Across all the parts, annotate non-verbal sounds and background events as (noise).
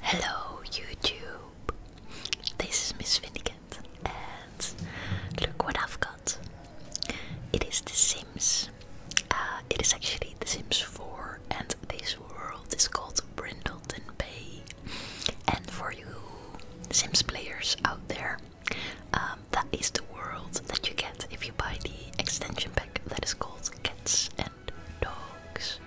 Hello YouTube, this is Miss Finnegan and look what I've got. It is The Sims. Uh, it is actually The Sims 4 and this world is called Brindleton Bay. And for you Sims players out there, um, that is the world that you get if you buy the extension pack that is called Kids and and dogs.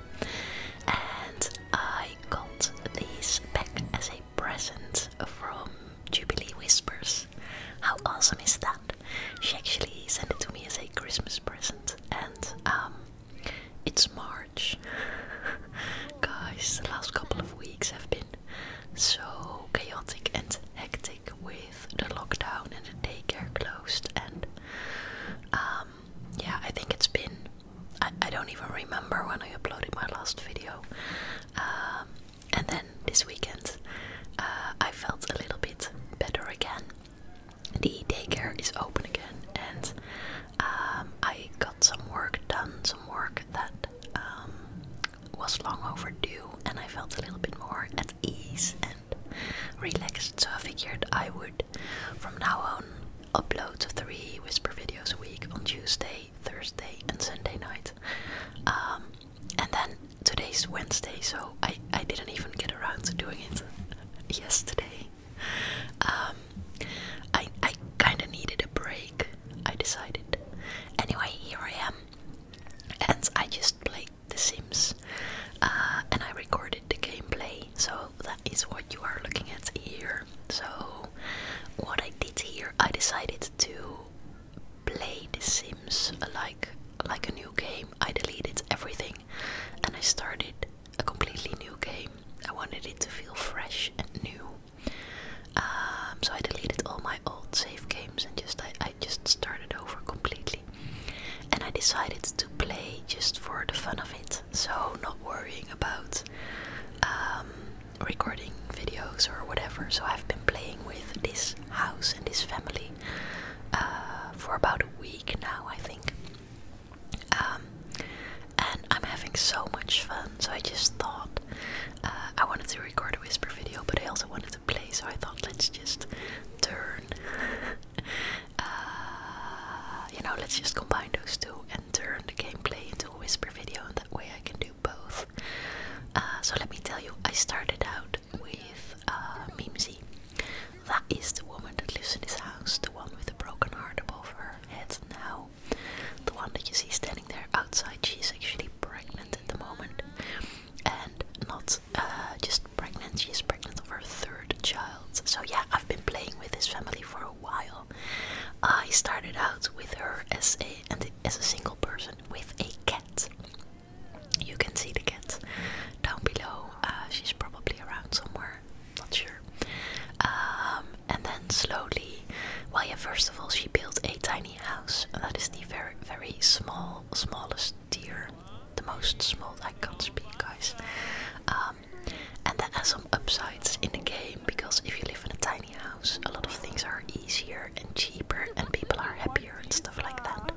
And I got these back as a present from Jubilee Whispers. How awesome is that? She actually sent it to me as a Christmas present, and um, it's March. (laughs) Guys, the last couple of weeks have been so chaotic and hectic with the lockdown and the daycare closed, and um, um, yeah, I think it's been. I, don't even remember when I uploaded my last video. Um, and then this weekend, uh, I felt a little bit better again. The daycare is open again, and um, I got some work done, some work that was long overdue, and I felt a little bit more at ease and relaxed. So I figured I would from now on, upload three whisper videos a week on Tuesday, Thursday, and Sunday night. Um, and then today's Wednesday, so I, I didn't even get around to doing it (laughs) yesterday. Um, I, I kind of needed a break, I decided. Anyway, here I am. And I just played The Sims uh, and I recorded the gameplay, so that is what you are looking at here. So, what I did here, I decided to play The Sims like like a new game. I deleted everything, and I started a completely new game. I wanted it to feel fresh and new. Um, so I deleted all my old save games and just I just started over completely. And I decided to play just for the fun of it. So, not worrying about um, recording videos or whatever. So, I've been playing with this house and this family uh, for about a week now, I think. Um, and I'm having so much fun. So, I just thought uh, I wanted to record a whisper video, but I also wanted to play. So, I thought let's just turn uh, you know, let's just combine those two and turn the gameplay into a whisper video, that way I can do both. Uh, so let me tell you, I started out with uh, Mimsy. That is the woman that lives in this house, the one with the broken heart above her head now. The one that you see standing there outside, she's actually pregnant at the moment. And not uh, just pregnant, she is pregnant of her third child. So, yeah, I've been playing with this family for a while I started out with her as a single person with a cat. You can see the cat down below. Uh, she's probably around somewhere. Not sure. Um, and then slowly, well, yeah. First of all, she built a tiny house. And that is the very, very small, smallest tier, the most small. I can't speak, guys. Uh, and there are some upsides in the game because if you live in a tiny house, a lot of things are easier and cheaper, and people are happier and stuff like that.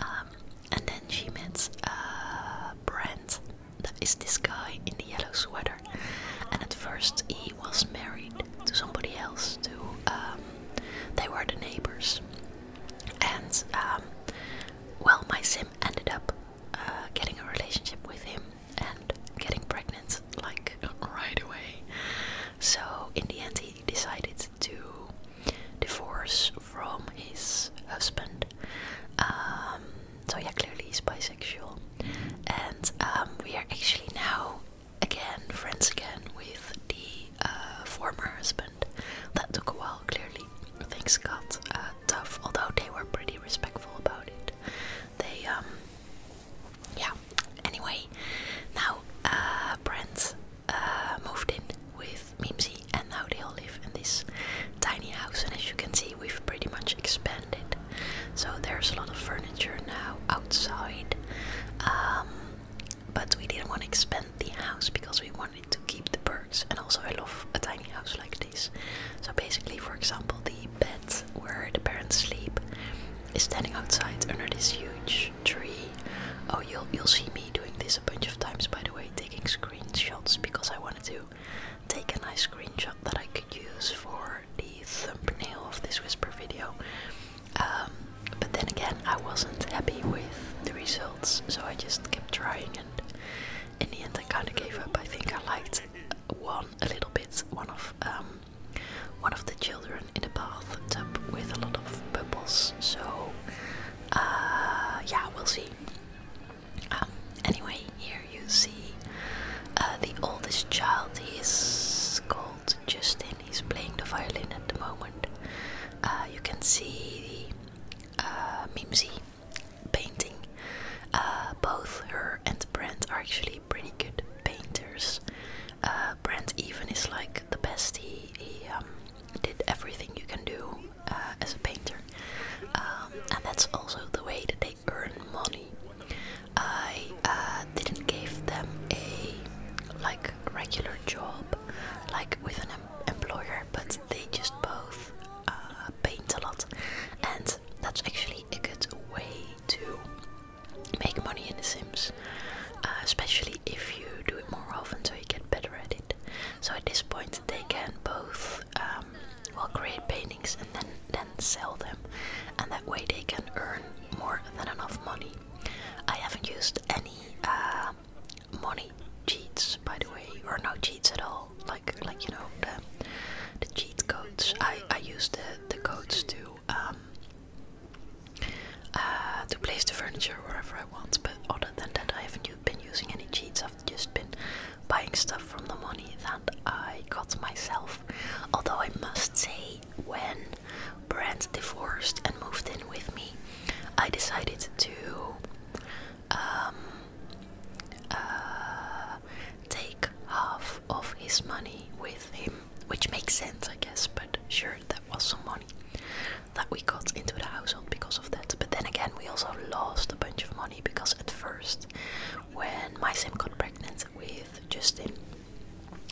Um, and then she meets uh, Brent, that is this guy in the yellow sweater. And at first, he was married to somebody else, to um, they were the neighbors. And um, well, my sim ended up uh, getting a relationship with him and getting pregnant like right away. So in the end, he decided to divorce from his husband. Um, so yeah, clearly he's bisexual, and um, we are actually now again friends again with the uh, former husband. That took a while, clearly. Thanks God. Uh, tough, although they were pretty respectful about it. They, um, yeah. Anyway, now uh, Brent uh, moved in with Mimsy, and now they all live in this tiny house. And as you can see, we've pretty much expanded. So there's a lot of furniture now outside. Um, but we didn't want to expand the house because we wanted to keep the birds. And also, I love a tiny house like this. So basically, for example, the bed where the parents sleep is standing outside under this huge tree. Oh, you'll you'll see me doing this a bunch of times, by the way, taking screenshots because I wanted to take a nice screenshot that I could use for the thumbnail of this whisper video. Um, but then again, I wasn't happy with the results, so I just kept trying, and in the end, I kind of gave up. I think I liked one a little bit one of um, one of the children in a bathtub with a lot of bubbles. So uh, yeah, we'll see. Um, anyway, here you see uh, the oldest child. He is called Justin. He's playing the violin at the moment. Uh, you can see uh, Mimsy painting. Uh, both her and Brand are actually pretty good painters. Uh, Brand even is like the best. He, he um, did everything you can do uh, as a painter, um, and that's also the way that they earn money. I uh, didn't give them a like regular job, like with an employer, but they just both paint a lot, and that's actually a way to make money in The Sims, uh, especially if you do it more often so you get better at it. So at this point, they can both um, well create paintings and then then sell them, and that way they can earn more than enough money. I haven't used any uh, money cheats, by the way, or no cheats at all like like you know the the cheat codes. I I use the the codes to um uh, to place the furniture wherever I want. But other than that, I haven't been using any cheats. I've just been buying stuff from the money that I got myself. Although I must say, when Brent divorced and moved in with me, I decided to um. Uh, take half of his money with him, which makes sense, I guess, but sure, that was some money that we got into the household because of that. But then again, we also lost a bunch of money because at first, when my sim got pregnant with Justin,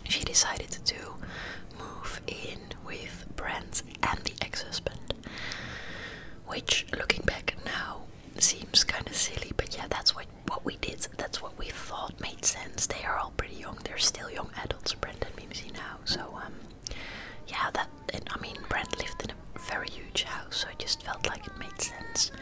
she decided to move in with Brent and the ex husband, which looking back now seems kind of silly, but yeah, that's what what we did, that's what we thought made sense. They are all pretty young. They're still young adults, Brendan, and now. So, um, yeah, that. And, I mean, Brendan lived in a very huge house, so it just felt like it made sense.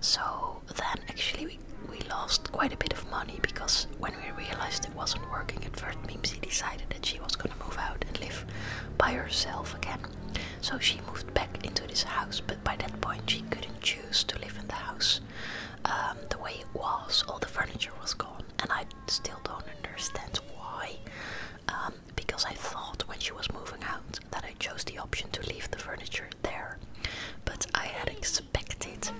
So then, actually, we lost quite a bit of money because when we realized it wasn't working at first, Mimsy decided that she was gonna move out and live by herself again. So she moved back into this house, but by that point she couldn't choose to live in the house um, the way it was. All the furniture was gone, and I still don't understand why. Um, because I thought when she was moving out that I chose the option to leave the furniture there, but I had expected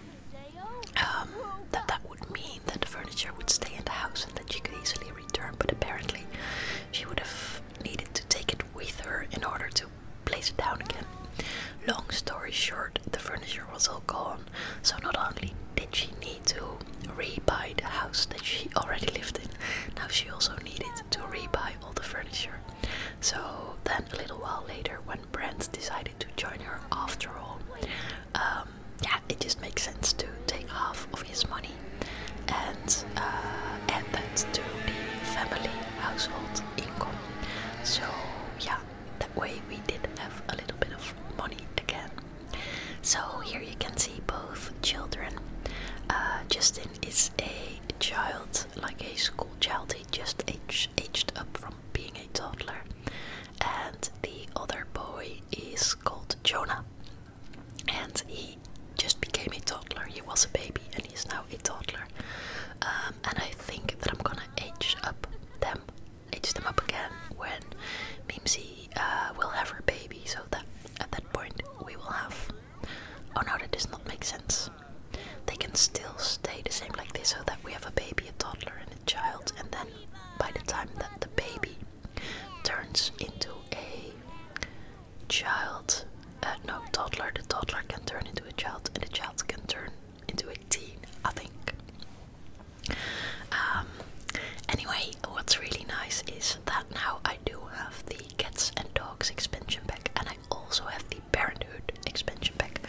um, that that would mean that the furniture would stay in the house and that she could easily return. But apparently, she would have needed to take it with her in order to place it down again. Long story short, the furniture was all gone, so not only did she need to rebuy the house that she already lived in, now she also needed to rebuy all the furniture. So then, a little while later, when Brent decided to join her after all, um, yeah, it just makes sense to take half of his money and uh, to the family household income. So yeah, that way we did have a little bit of money again. So here you can see both children. Uh, Justin is a child, like a school child. He just aged up from being a toddler, and the other boy is called Jonah, and he just became a toddler. He was a baby and he's now a toddler. Um, and I think that I'm gonna age up them, age them up again when Mimsy uh, will have her baby. So that at that point we will have. Oh no, that does not make sense. They can still stay the same like this, so that we have a baby, a toddler, and a child, and then by the time that the baby turns into a child, uh, no, toddler, the toddler can turn into a child, and the child can turn into a teen, I think. Um, anyway, what's really nice is that now I do have the Cats and Dogs expansion pack, and I also have the Parenthood expansion pack.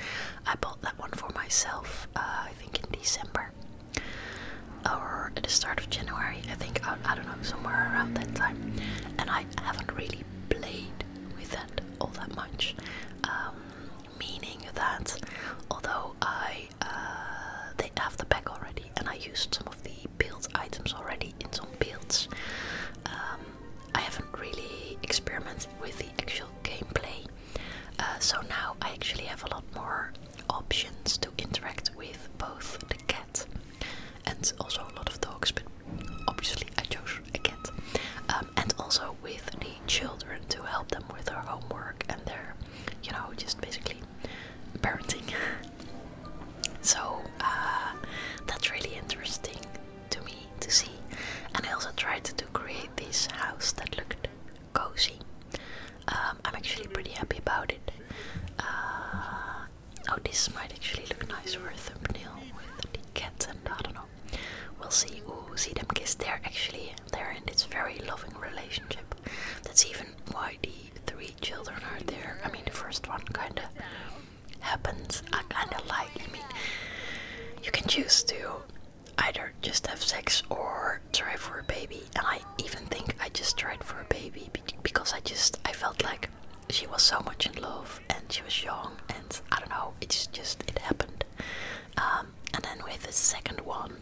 I bought that one for myself, uh, I think in December or at the start of January, I think, I don't know, somewhere around that time. And I haven't really played with that, all that much. Um, meaning that although I uh, they have the pack already and I used some of the build items already in some builds, um, I haven't really experimented with the actual gameplay. Uh, so now I actually have a lot more options to interact with both the cat and also a lot of dogs, but obviously I chose a cat. Um, and also with the children to help them with their homework and their, you know, just basically parenting. (laughs) so uh, that's really interesting to me to see. And I also tried to create this house that looked cozy. Um, I'm actually pretty happy about it. Uh, Oh, this might actually look nice for a thumbnail with the cat and I don't know. We'll see. Ooh, see them kiss. They're actually they're in this very loving relationship. That's even why the three children are there. I mean, the first one kind of happens. I kind of like. I mean, you can choose to either just have sex or try for a baby. And I even think I just tried for a baby because I just I felt like she was so much in love and she was young and I don't know it's just it happened um, and then with the second one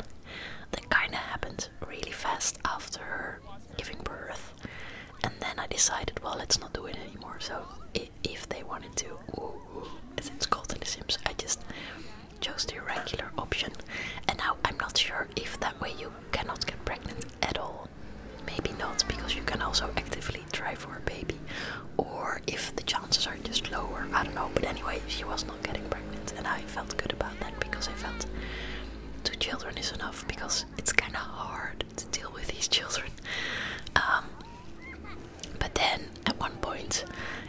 that kind of happened really fast after her giving birth and then I decided well let's not do it anymore so if they wanted to ooh, ooh, as it's called in the sims I just chose the regular option and now I'm not sure if that way you cannot get pregnant at all maybe not, because you can also actively try for a baby, or if the chances are just lower, I don't know. But anyway, she was not getting pregnant, and I felt good about that because I felt two children is enough because it's kind of hard to deal with these children. Um, but then at one point,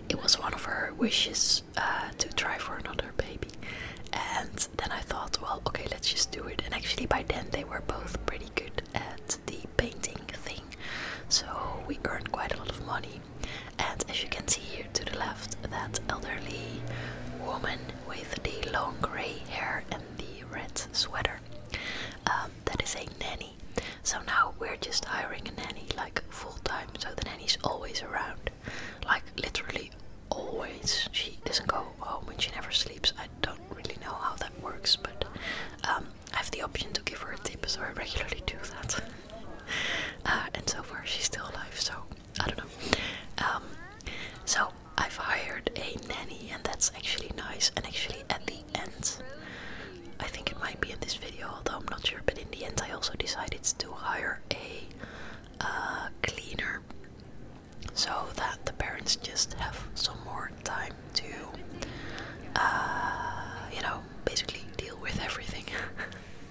it was one of her wishes uh, to try for another baby, and then I thought, well, okay, let's just do it. And actually, by then, they were both pretty good at the painting thing, so we earned quite a lot of money. And as you can see here to the left, that elderly woman with the long grey hair and the red sweater, um, that is a nanny. So now we're just hiring a nanny like full time, so the nanny's always around, like literally always. She doesn't go home and she never sleeps. I don't really know how that works, but um, I have the option to give her a tip, so I regularly do that. (laughs) Uh, and so far, she's still alive, so I don't know. Um, so I've hired a nanny, and that's actually nice. And actually, at the end, I think it might be in this video, although I'm not sure. But in the end, I also decided to hire a uh, cleaner so that the parents just have some more time to, uh, you know, basically deal with everything.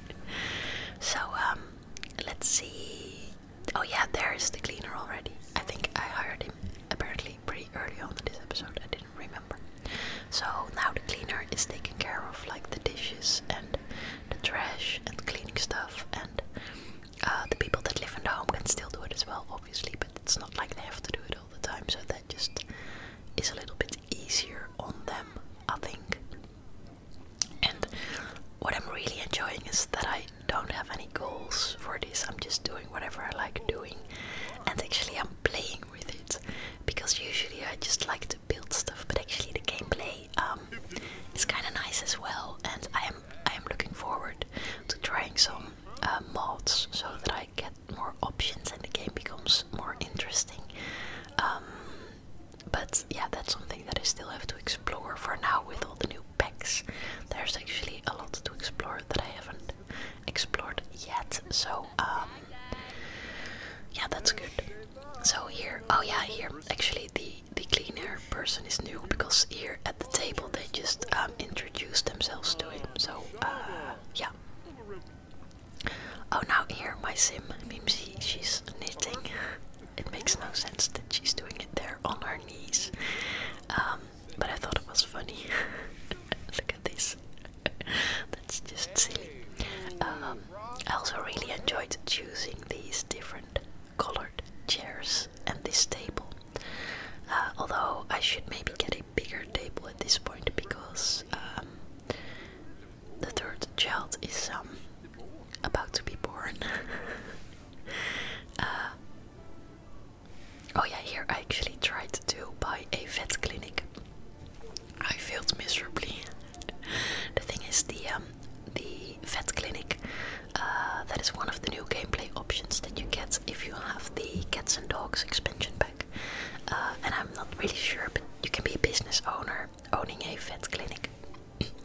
(laughs) so, um, let's see. Oh, yeah, there's the cleaner already. I think I hired him apparently pretty early on in this episode. I didn't remember. So, now the cleaner is taking care of like the dishes and the trash and cleaning stuff, and uh, the people that live in the home can still do it as well, obviously, but it's not like they have to do it all the time, so that just is a little bit easier on them, I think. And what I'm really enjoying is that I don't have any goals for this, I'm just doing whatever I like doing, and actually, I'm playing with it because usually I just like to build stuff, but actually, the gameplay um, is kind of nice as well, and I am I am looking forward to trying some uh, mods so that I get more options and the game becomes more interesting. Um, but yeah, that's something that I still have to explore for now with all the new packs. There's actually a lot to explore that I haven't explored yet, so um, yeah, that's good. So here, oh yeah, here actually the the cleaner person is new because here at the table they just um, um, introduce themselves to him. So, uh, yeah. Oh, now here my sim, Mimsy, she's knitting. (laughs) It makes no sense that she's doing it there on her knees. Um, but I thought it was funny. (laughs) Look at this. (laughs) That's just silly. Um, I also really enjoyed choosing these different colored chairs and this table. Uh, although I should maybe get a bigger table at this point because um, the third child is um, about to be born. (laughs) Uh, oh yeah, here I actually tried to buy a vet clinic. I failed miserably. (laughs) the thing is, the um, the vet clinic uh, that is one of the new gameplay options that you get if you have the cats and dogs expansion pack. Uh, and I'm not really sure, but you can be a business owner owning a vet clinic. (clears throat)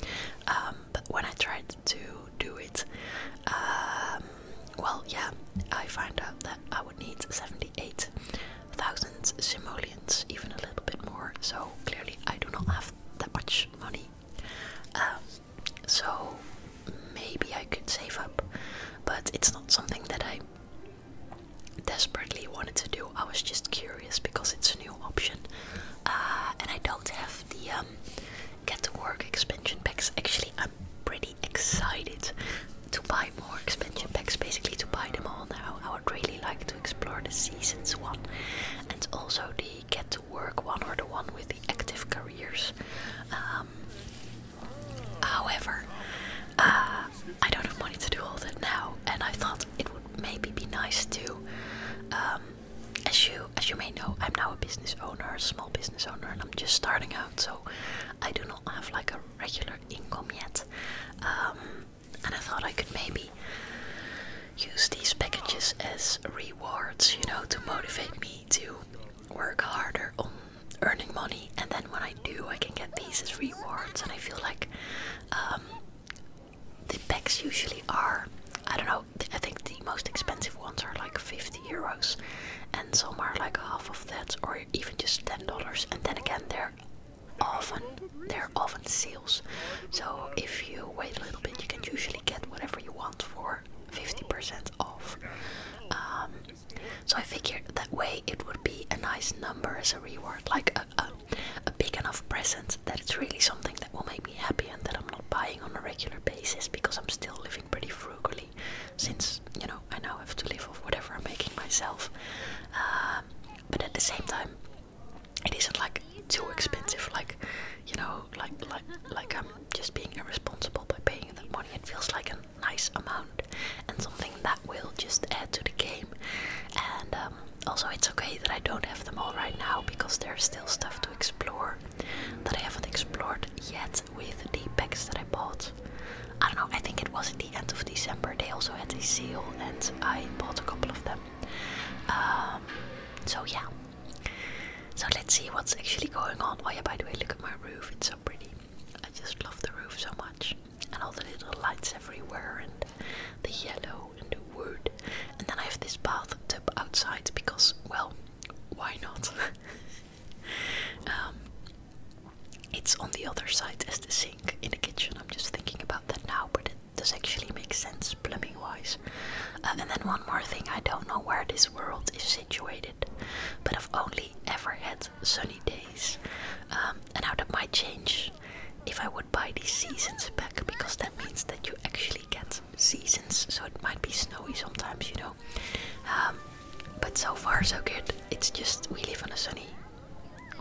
Um, but when I tried to do it, um, well, yeah, I found out that I would need 78,000 simoleons, even a little bit more. So clearly, I do not have that much money. Um, so maybe I could save up, but it's not something that I desperately wanted to do. I was just curious because it's a new option, uh, and I don't have the um, get to work expansion packs. Actually, I'm pretty excited to buy more expansion packs, basically to buy them all now. I would really like to explore the seasons one and also the get to work one or the one with the active careers. Um, However, uh, I don't have money to do all that now, and I thought it would maybe be nice to. Um, as you as you may know, I'm now a business owner, a small business owner, and I'm just starting out, so I do not have like a regular income yet. Um, and I thought I could maybe use these packages as rewards, you know, to motivate me to work harder on um, earning money, and then when I do, I can get these as rewards. And I feel like um, the packs usually are, I don't know, I think the most expensive ones are like 50 euros, and some are like half of that, or even just $10. And then again, they're often they're often sales so if you wait a little bit you can usually get whatever you want for 50% off um, so I figured that way it would be a nice number as a reward, like a, a, big enough present that it's really something that will make me happy and that I'm not buying on a regular basis because I'm still living pretty frugally since, you know, I now have to live off whatever I'm making myself. Um, but at the same time, it isn't like too expensive, like, you know, like, like, like I'm just being irresponsible by paying that money. It feels like an nice amount and something that will just add to the game. And um, also, it's okay that I don't have them all right now because there's still stuff to explore that I haven't explored yet with the packs that I bought. I don't know, I think it was at the end of December. They also had a seal, and I bought a couple of them. Um, so, yeah. So, let's see what's actually going on. Oh, yeah, by the way, look at my roof, it's so pretty. I just love the roof so much, and all the little lights everywhere, and the yellow and the wood. And then I have this bathtub outside because, well, why not? (laughs) Um, it's on the other side as the sink in the kitchen. I'm just thinking about that now, but it does actually make sense plumbing wise. Uh, and then, one more thing I don't know where this world is situated but I've only ever had sunny days, um, and now that might change if I would buy these seasons back because that means that you actually get seasons, so it might be snowy sometimes, you know. Um, but so far, so good. It's just we live on a sunny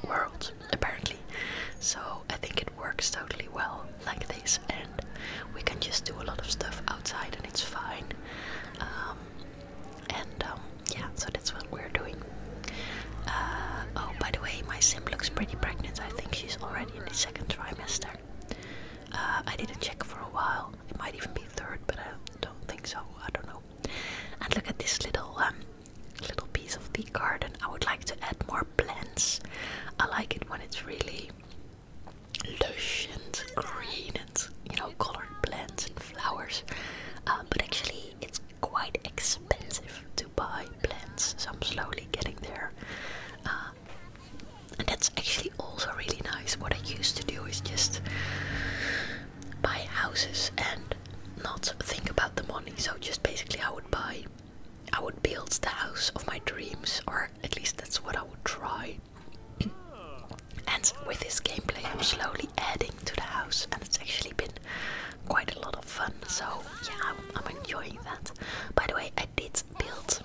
world, apparently. So I think it works totally well like this, and we can just do a lot of stuff outside, and it's fine. Um, and um, yeah, so that's what we're doing. Uh, oh, by the way, my sim looks pretty pregnant. I think she's already in the second trimester. Uh, I didn't check for a while. It might even be third, but I don't think so. I don't know. And look at this little um, little piece of the garden. I would like to add more plants. I like it when it's really lush and green and you know colored plants and flowers, uh, but actually it's quite expensive to buy plants, so I'm slowly getting there. Uh, and that's actually also really nice. What I used to do is just buy houses and not think about the money. So just basically, I would buy, I would build the house of my dreams, or at least that's what I would try and with this gameplay, I'm slowly adding to the house, and it's actually been quite a lot of fun. So yeah, I'm, enjoying that. By the way, I did build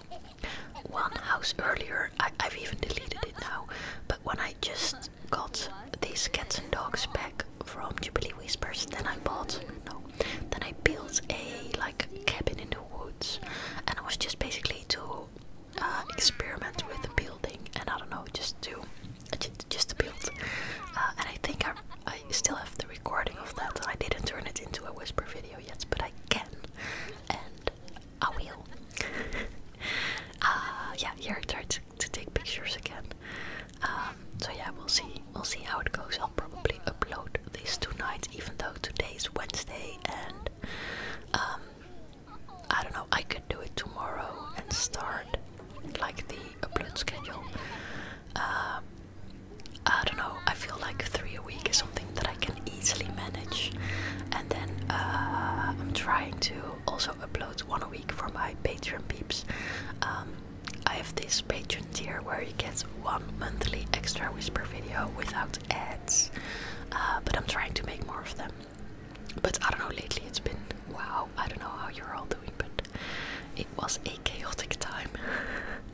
one house earlier. I, have even deleted it now. But when I just got these cats and dogs back from Jubilee Whispers, then I bought no, then I built a like cabin in the woods, and I was just basically to uh, experiment with the building and I don't know, just to just, to build. Uh, and I think I, I still have the recording of that. I didn't turn it into a whisper video yet, but I can, and I will. (laughs) uh, yeah, here I tried to, take pictures again. Um, so yeah, we'll see. We'll see how it goes. I'll probably upload this tonight, even though today is Wednesday and um, I don't know, I could do it tomorrow and start like the upload schedule. Um, I don't know, I feel like three a week is something that I can easily manage. And then uh, I'm trying to also upload one a week for my Patreon peeps. Um, I have this Patreon tier where you get one monthly extra whisper video without ads, uh, but I'm trying to make more of them. But I don't know, lately it's been wow, I don't know how you're all doing, but it was a chaotic time. (laughs)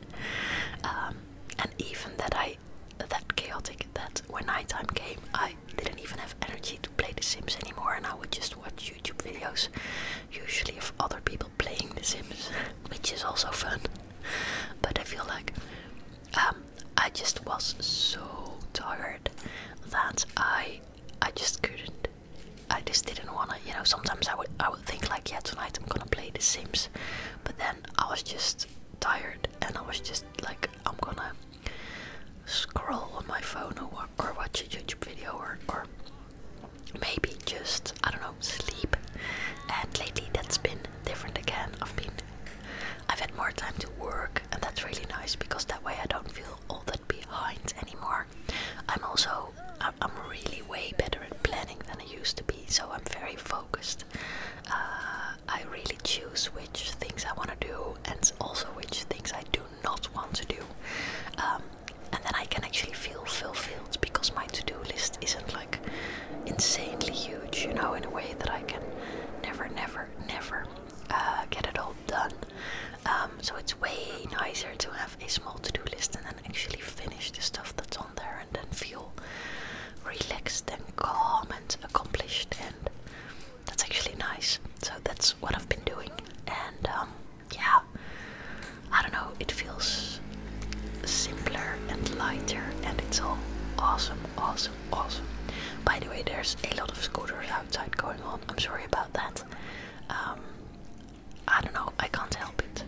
Um, and even that I that chaotic that when nighttime came I didn't even have energy to play The Sims anymore and I would just watch YouTube videos usually of other people playing The Sims (laughs) which is also fun. But I feel like um, I just was so tired that I I just couldn't. I just didn't wanna. You know, sometimes I would I would think like, yeah, tonight I'm gonna play The Sims, but then I was just tired and I was just like, I'm gonna scroll on my phone or or watch a YouTube video or or maybe just I don't know sleep. And lately that's been different again. I've been I've had more time to work, and that's really nice because that way I don't feel all that behind anymore. I'm also I'm really way better at planning than I used to be, so I'm very focused. Uh, I really choose which things I want to do, and also which things I do not want to do. Um, and then I can actually feel fulfilled because my to-do list isn't like insanely huge, you know, in a way that I can never, never, never uh, get it all done. Um, so it's way nicer to have a small to-do list and then actually finish the stuff that's on there and then feel relaxed and calm and accomplished and that's actually nice. So that's what I've been doing and um, yeah, I don't know, it feels simpler and lighter and it's all awesome, awesome, awesome. By the way, there's a lot of scooters outside going on. I'm sorry about that. Um, I don't know. I can't help it.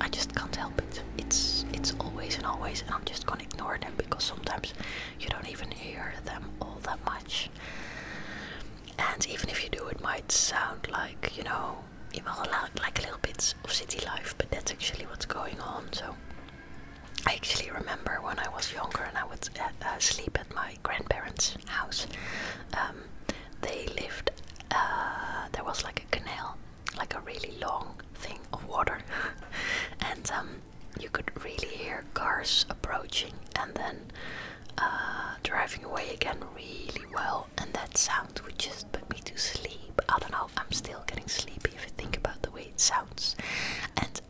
I just can't help it. It's it's always and always, and I'm just gonna ignore them because sometimes you don't even hear them all that much. And even if you do, it might sound like you know, even like little bits of city life, but that's actually what's going on. So. I actually remember when I was younger and I would uh, uh, sleep at my grandparents' house, um, they lived. Uh, there was like a canal, like a really long thing of water, (laughs) and um, you could really hear cars approaching and then uh, driving away again really well. And that sound would just put me to sleep. I don't know. I'm still getting sleepy if I think about the way it sounds. And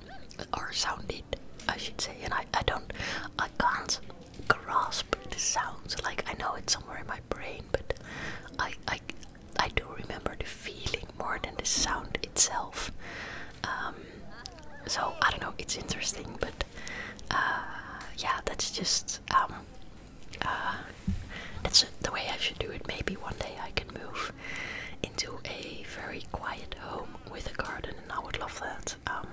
or sounded, I should say, and I, I don't, I can't grasp the sounds. Like I know it's somewhere in my brain, but I, I, I do remember the feeling more than the sound itself. Um, so I don't know. It's interesting, but uh, yeah, that's just um, uh, that's the way I should do it. Maybe one day I can move into a very quiet home with a garden, and I would love that. Um,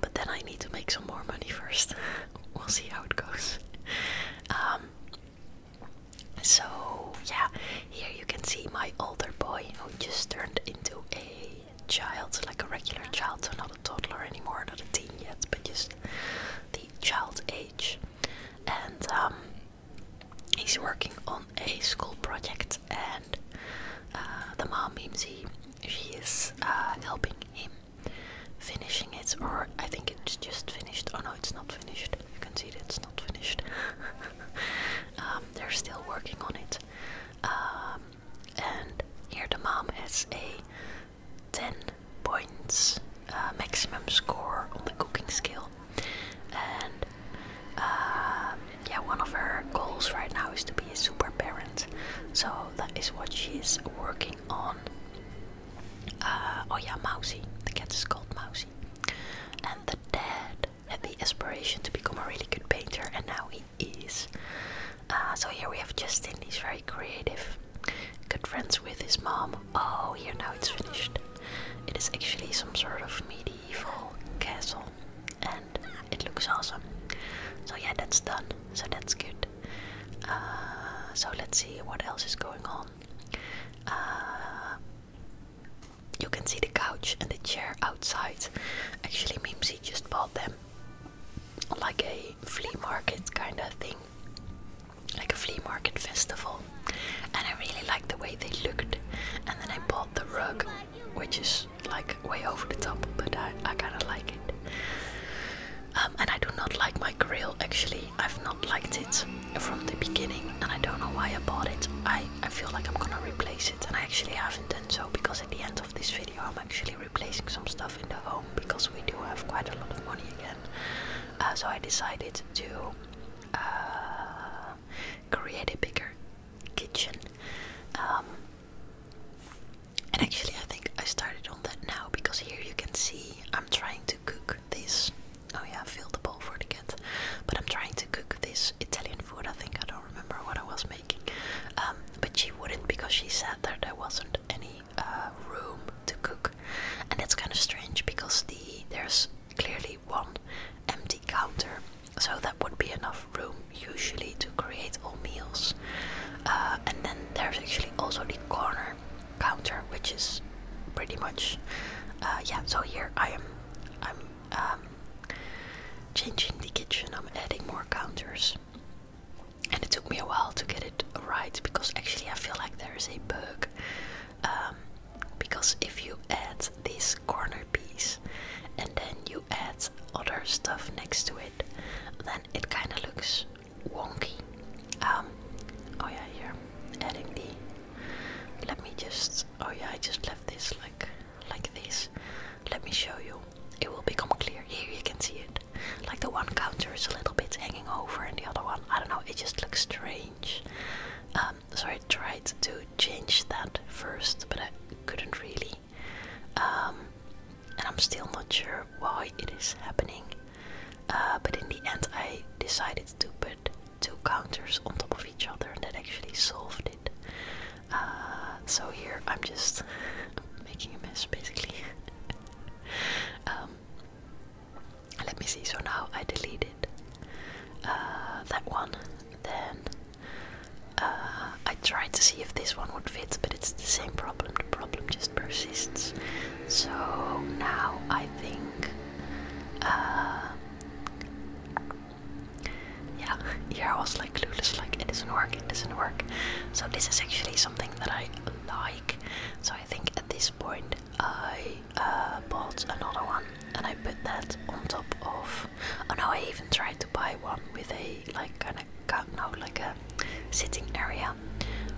but then I need to make some more money first. (laughs) we'll see how it goes. Um, so yeah, here you can see my older boy who just turned into a child, like a regular child, so not a toddler anymore, not a teen yet, but just the child age. And um, he's working on a school project, and uh, the mom Mimsy, she is uh, helping him finishing it, or I think it's just finished. Oh no, it's not finished. You can see that it's not finished. (laughs) Um, they're still working on it, um, and here the mom has a ten points uh, maximum score on the cooking skill, and um, yeah, one of her goals right now is to be a super parent, so that is what she's working on. Uh, oh yeah, Mousy. The cat is called Mousy. And the dad had the aspiration to become a really good painter, and now he is. Uh, so here we have Justin. He's very creative. Good friends with his mom. Oh, here now it's finished. It is actually some sort of medieval castle, it looks awesome. So yeah, that's done. So that's good. Uh, so let's see what else is going on. Uh, you can see the couch and the chair outside. Actually, Mimsy just bought them like a flea market kind of thing, like a flea market festival. And I really liked the way they looked. And then I bought the rug which is like way over the top, but I, I kinda like it. Um, and I do not like my grill actually, I've not liked it from the beginning, and I don't know why I bought it. I, I feel like I'm gonna replace it, and I actually haven't done so because at the end of this video, I'm actually replacing some stuff in the home because we do have quite a lot of money again. Uh, so I decided to uh, create a bigger kitchen. Um, and actually, I think I started on that now because here you can see I'm trying to cook this. Oh, yeah, I filled the bowl for the cat. But I'm trying to cook this Italian food. I think I don't remember what I was making. Um, but she wouldn't because she said that there wasn't any uh, room to cook. And that's kind of strange because the there's clearly one empty counter so that would be enough room usually to create all meals. Uh, and then there's actually also the corner counter, which is pretty much uh, yeah. So here I am. I'm um, changing the kitchen. I'm adding more counters, and it took me a while to get it right because actually I feel like there is a bug. Um, because if you add this corner piece and then you add other stuff next to it, then it kind of looks wonky. Um, oh yeah, here, adding the. Let me just. Oh yeah, I just left this like like this. Let me show you. It will become clear. Here you can see it. Like the one counter is a little bit hanging over, and the other one, I don't know, it just looks strange. Um, so I tried to change that first, but I couldn't really. Um, and I'm still not sure why it is happening. Uh, but in the end, I decided to put two counters on top of each other, and that actually solved it. Uh, so here I'm just (laughs) making a mess basically. (laughs) Um, let me see, so now I delete it. Uh, that one, then uh, I tried to see if this one would fit, but it's the same problem. The problem just persists. So now I think, uh, yeah, I was like clueless, like it doesn't work, it doesn't work. So this is actually something that I like. So I think at this point I uh, bought another one and I put that on top of stuff. Oh no, I even tried to buy one with a like kind of no, like a sitting area,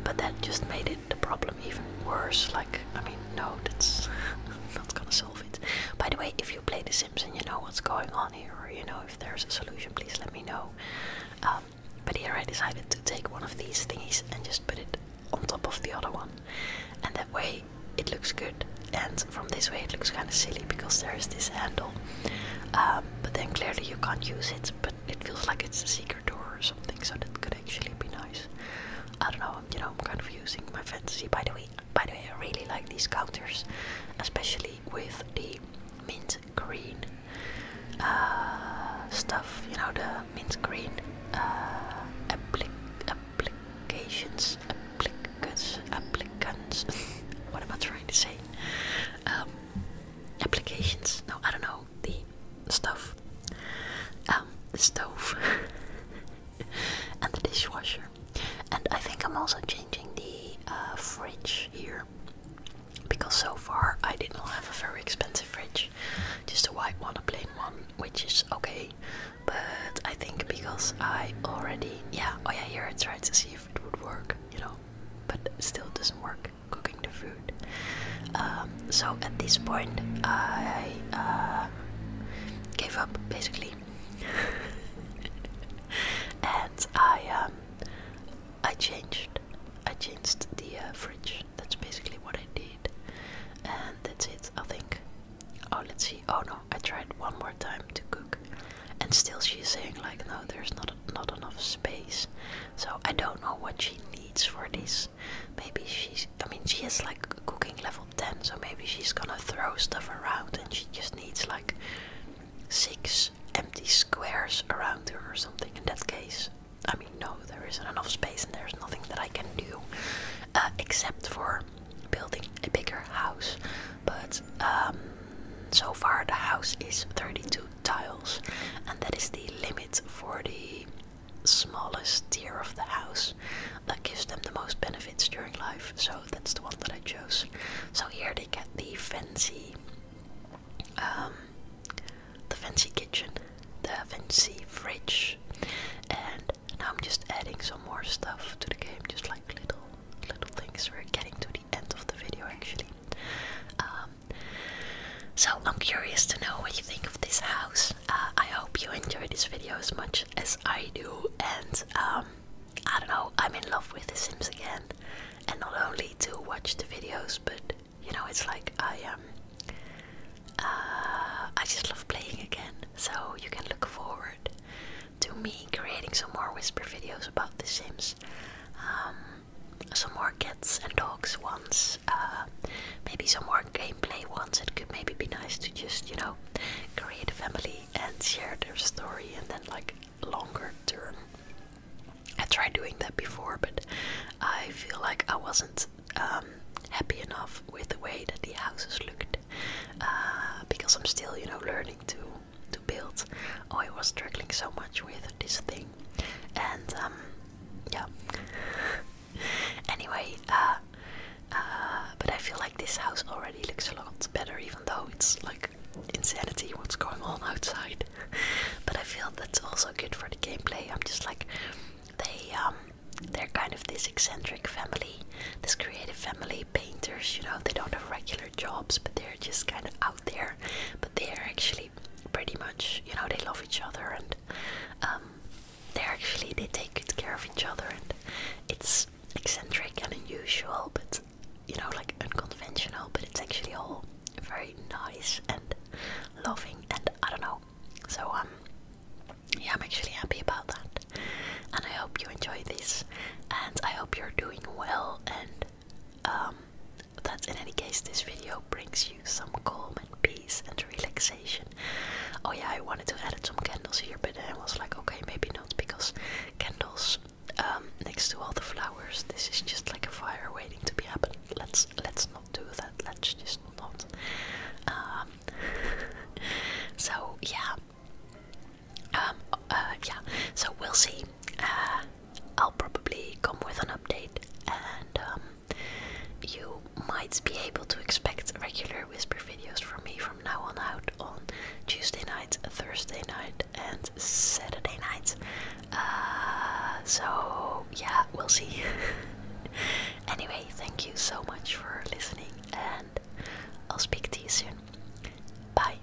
but that just made it the problem even worse. Like, I mean, no, that's (laughs) not gonna solve it. By the way, if you play The Simpsons, you know what's going on here, or you know if there's a solution, please let me know. Um, but here I decided to take one of these thingies and just put it on top of the other one, and that way it looks good and from this way it looks kind of silly because there is this handle um, but then clearly you can't use it but it feels like it's a secret door or something so that could actually be nice I don't know you know I'm kind of using my fantasy by the way by the way I really like these counters especially with the mint green uh, stuff you know the mint green uh, applications applicants applicants (laughs) what am I trying to say um, applications. No, I don't know the stove, um, the stove (laughs) and the dishwasher. And I think I'm also changing the uh, fridge here because so far I did not have a very expensive fridge, just a white one, a plain one, which is okay. But I think because I already, yeah, oh yeah, here it tries to see if it would work, you know, but still doesn't work cooking the food. Um, so at this point, I uh, gave up basically, (laughs) and I um, I changed I changed the uh, fridge. That's basically what I did, and that's it. I think. Oh, let's see. Oh no, I tried one more time to cook and still she's saying like no there's not not enough space so i don't know what she needs for this maybe she's i mean she is like cooking level 10 so maybe she's gonna throw stuff around and she just needs like six empty squares around her or something in that case i mean no there isn't enough space and there's nothing that i can do uh, except for building a bigger house but um, so far the house is 32 tiles, and that is the limit for the smallest tier of the house that gives them the most benefits during life. So that's the one that I chose. So here they get the fancy, um, the fancy kitchen, the fancy fridge, and now I'm just adding some more stuff to the game, just like little little things. We're getting to the end of the video actually. Um, so I'm curious to know what you think of this house. Uh, I hope you enjoy this video as much as I do, and um, I don't know. I'm in love with The Sims again, and not only to watch the videos, but you know, it's like I Um, uh, I just love playing again. So you can look forward to me creating some more whisper videos about The Sims. Um, some more cats and dogs ones, uh, maybe some more gameplay ones. It could maybe be nice to just, you know, create a family and share their story and then like longer term. I tried doing that before, but I feel like I wasn't um, happy enough with the way that the houses looked uh, because I'm still, you know, learning to to build. Oh, I was struggling so much with this thing, and um, yeah. (laughs) anyway, uh, uh, but I feel like this house already looks a lot better, even though it's like insanity what's going on outside. (laughs) but I feel that's also good for the gameplay. I'm just like they um they're kind of this eccentric family, this creative family, painters, you know, they don't have regular jobs, but they're just kind of there, but they are actually pretty much, you know, they love each other and um, they're actually they take good care of each other, and it's eccentric and unusual, but you know, like unconventional, but it's actually all very nice and loving, and I don't know. So um, yeah, I'm actually happy about that, and I hope you enjoy this, and I hope you're doing well and that um, in any case, this video brings you some calm and peace and relaxation. Oh, yeah, I wanted to add some candles here, but I was like, okay, maybe not because candles um, next to all the flowers, this is just like a fire waiting to be happen. Let's let's not do that. Let's just not. Um, (laughs) so yeah, um, uh, yeah, so we'll see. Uh, I'll probably come with an update, and um, you might be able to expect regular whisper videos from me from now on out on Tuesday night, Thursday night, and Saturday nights. Uh, so, yeah, we'll see. (laughs) anyway, thank you so much for listening, and I'll speak to you soon. Bye.